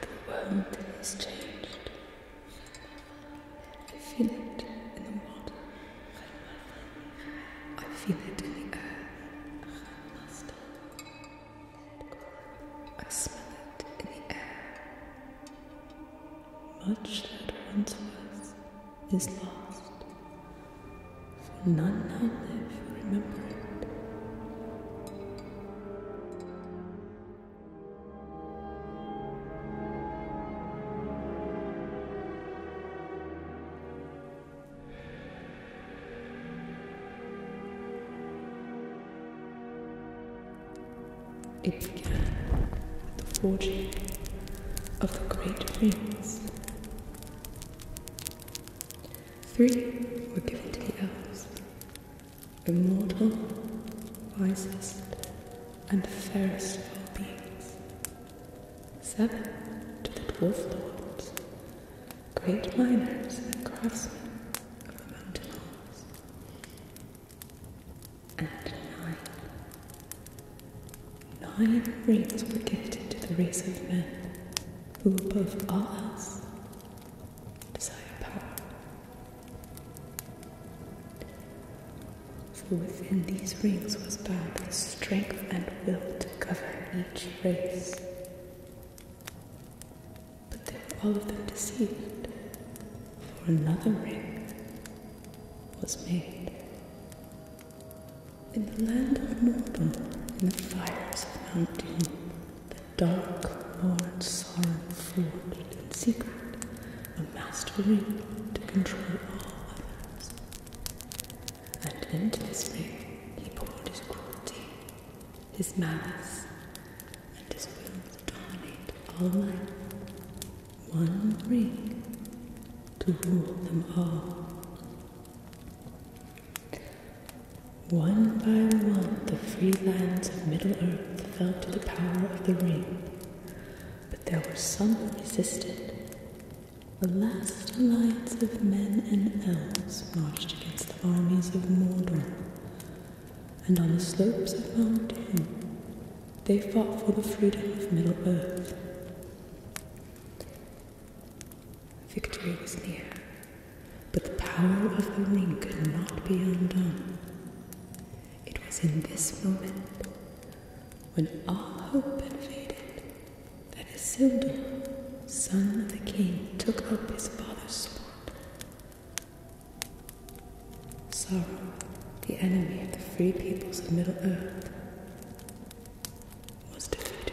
The world is changed. I feel it in the water. I feel it in the earth. I smell it in the air. Much that once was is lost, for none now live who remember it. It began with the forging of the great rings Three were given to the elves, immortal, wisest, and fairest of all beings. Seven to the dwarves, lords, great miners and craftsmen of the mountains and nine. rings were given to the race of men who above all else desired power. For within these rings was bound the strength and will to govern each race. But they were all of them deceived, for another ring was made. In the land of Mordor, in the fires of Mount Doom, the dark Lord Sauron forged in secret a mastery to control all others. And into this ring he poured his cruelty, his malice, and his will to dominate all life one ring to rule them all. One by one, the free lands of Middle Earth fell to the power of the ring, but there were some who resisted. The last alliance of men and elves marched against the armies of Mordor, and on the slopes of Mount Doom, they fought for the freedom of Middle Earth. Victory was near, but the power of the ring could not be undone. It was in this moment, when all hope had faded, that Isildur, son of the king, took up his father's sword. Sauron, the enemy of the free peoples of Middle Earth, was defeated.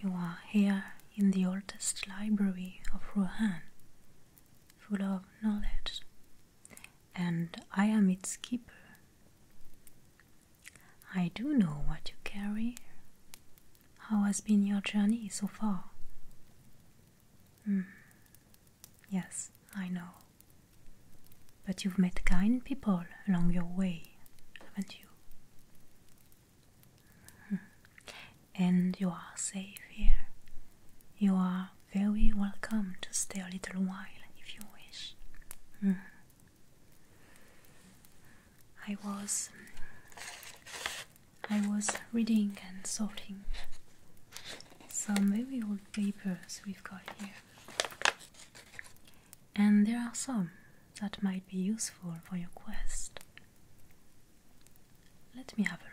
you are here in the oldest library of Rouen, full of knowledge, and I am its keeper. I do know what you carry. How has been your journey so far? Hmm, yes, I know. But you've met kind people along your way, haven't you? Hmm. And you are safe here. You are very welcome to stay a little while if you wish. Hmm. I was I was reading and sorting some very old papers we've got here and there are some that might be useful for your quest. Let me have a look.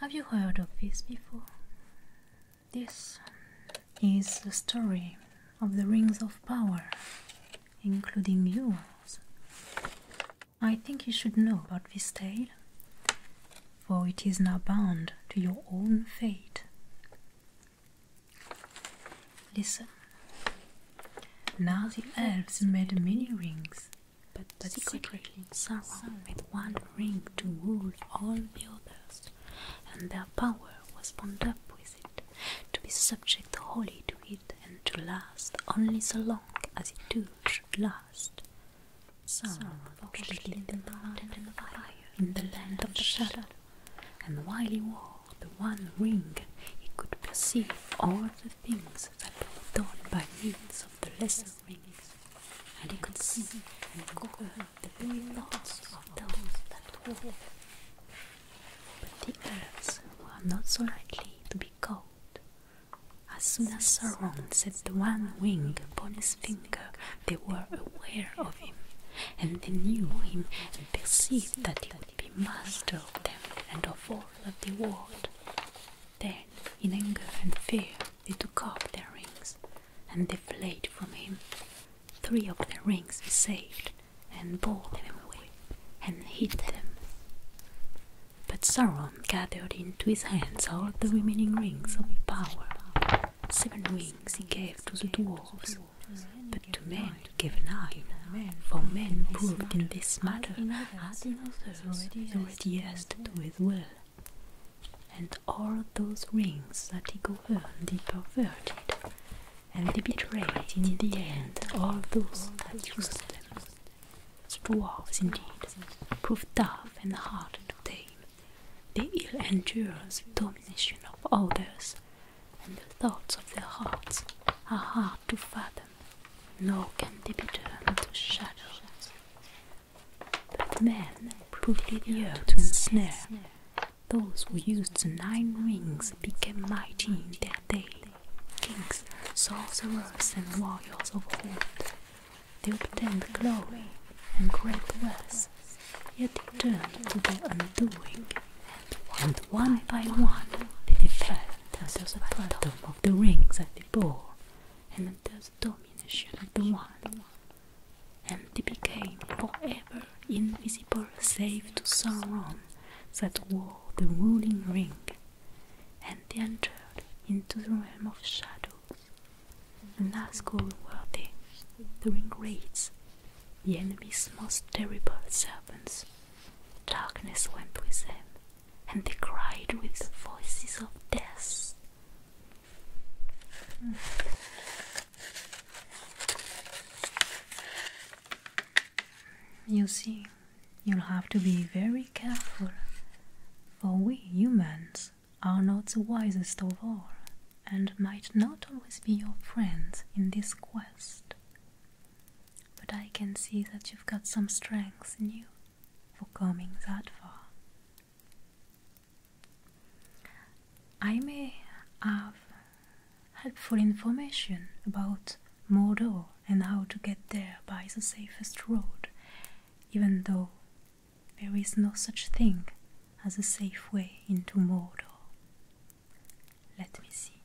Have you heard of this before? This is the story of the rings of power, including yours. I think you should know about this tale, for it is now bound to your own fate. Listen. Now the elves made many rings but, but secretly, secretly Sauron with one ring to rule all the others, and their power was bound up with it, to be subject wholly to it and to last only so long as it too should last. Sauron forged the mountain and fire in the land of the shadow, and while he wore the one ring he could perceive all the things that were done by means of the lesser rings, and he could see and cover the very thoughts of those that wore But the others were not so likely to be caught. As soon as Sauron set the one wing upon his finger, they were aware of him, and they knew him and perceived that he we master of them and of all that they world. Then, in anger and fear, they took up their rings, and they from him. Three of the rings he saved, and bore them away, and hid them. But Sauron gathered into his hands all the remaining rings of power. Seven rings he gave to the dwarfs, but to men Given give for men proved in this matter as in others already jested with will. And all those rings that he governed he perverted, and they betrayed in the end all those that used them. Dwarfs indeed, proved tough and hard to tame, they ill endure the domination of others, and the thoughts of their hearts are hard to fathom nor can they be turned to shadows. But men proved year to ensnare. Those who used the nine rings became mighty in their day. Kings, sorcerers, and warriors of old. They obtained glory and great wealth, yet they turned to their undoing and one by one they defend until the bottom of the rings at the ball and until the domination of the one. And they became forever invisible save to Sauron that wore the ruling ring, and they entered into the realm of shadows. The Nazgul were they, the ring raids, the enemy's most terrible servants. Darkness went with them, and they cried with the voices of death. Mm. You see, you'll have to be very careful, for we humans are not the wisest of all, and might not always be your friends in this quest. But I can see that you've got some strength in you for coming that far. I may have helpful information about Mordor and how to get there by the safest road, even though there is no such thing as a safe way into Mordor. Let me see.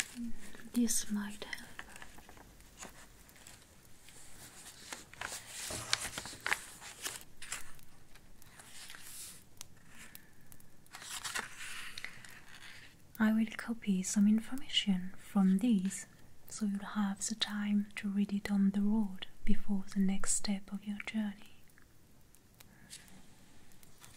Mm-hmm. This might help. I will copy some information from this, so you'll have the time to read it on the road before the next step of your journey.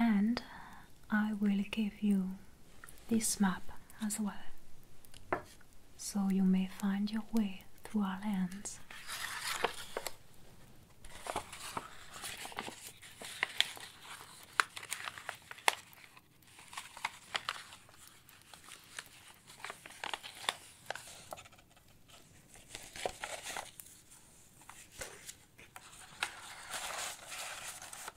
And I will give you this map as well, so you may find your way through our lands.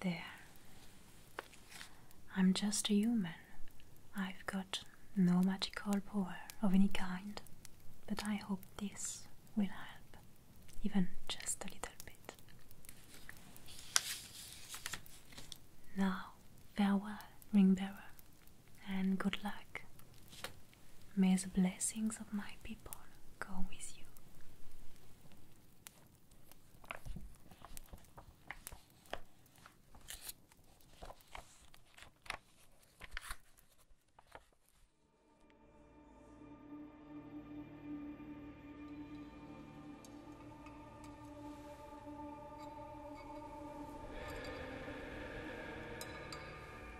There. I'm just a human. I've got no magical power of any kind, but I hope this will help, even just a little bit. Now, farewell, ring bearer and good luck. May the blessings of my people go with you.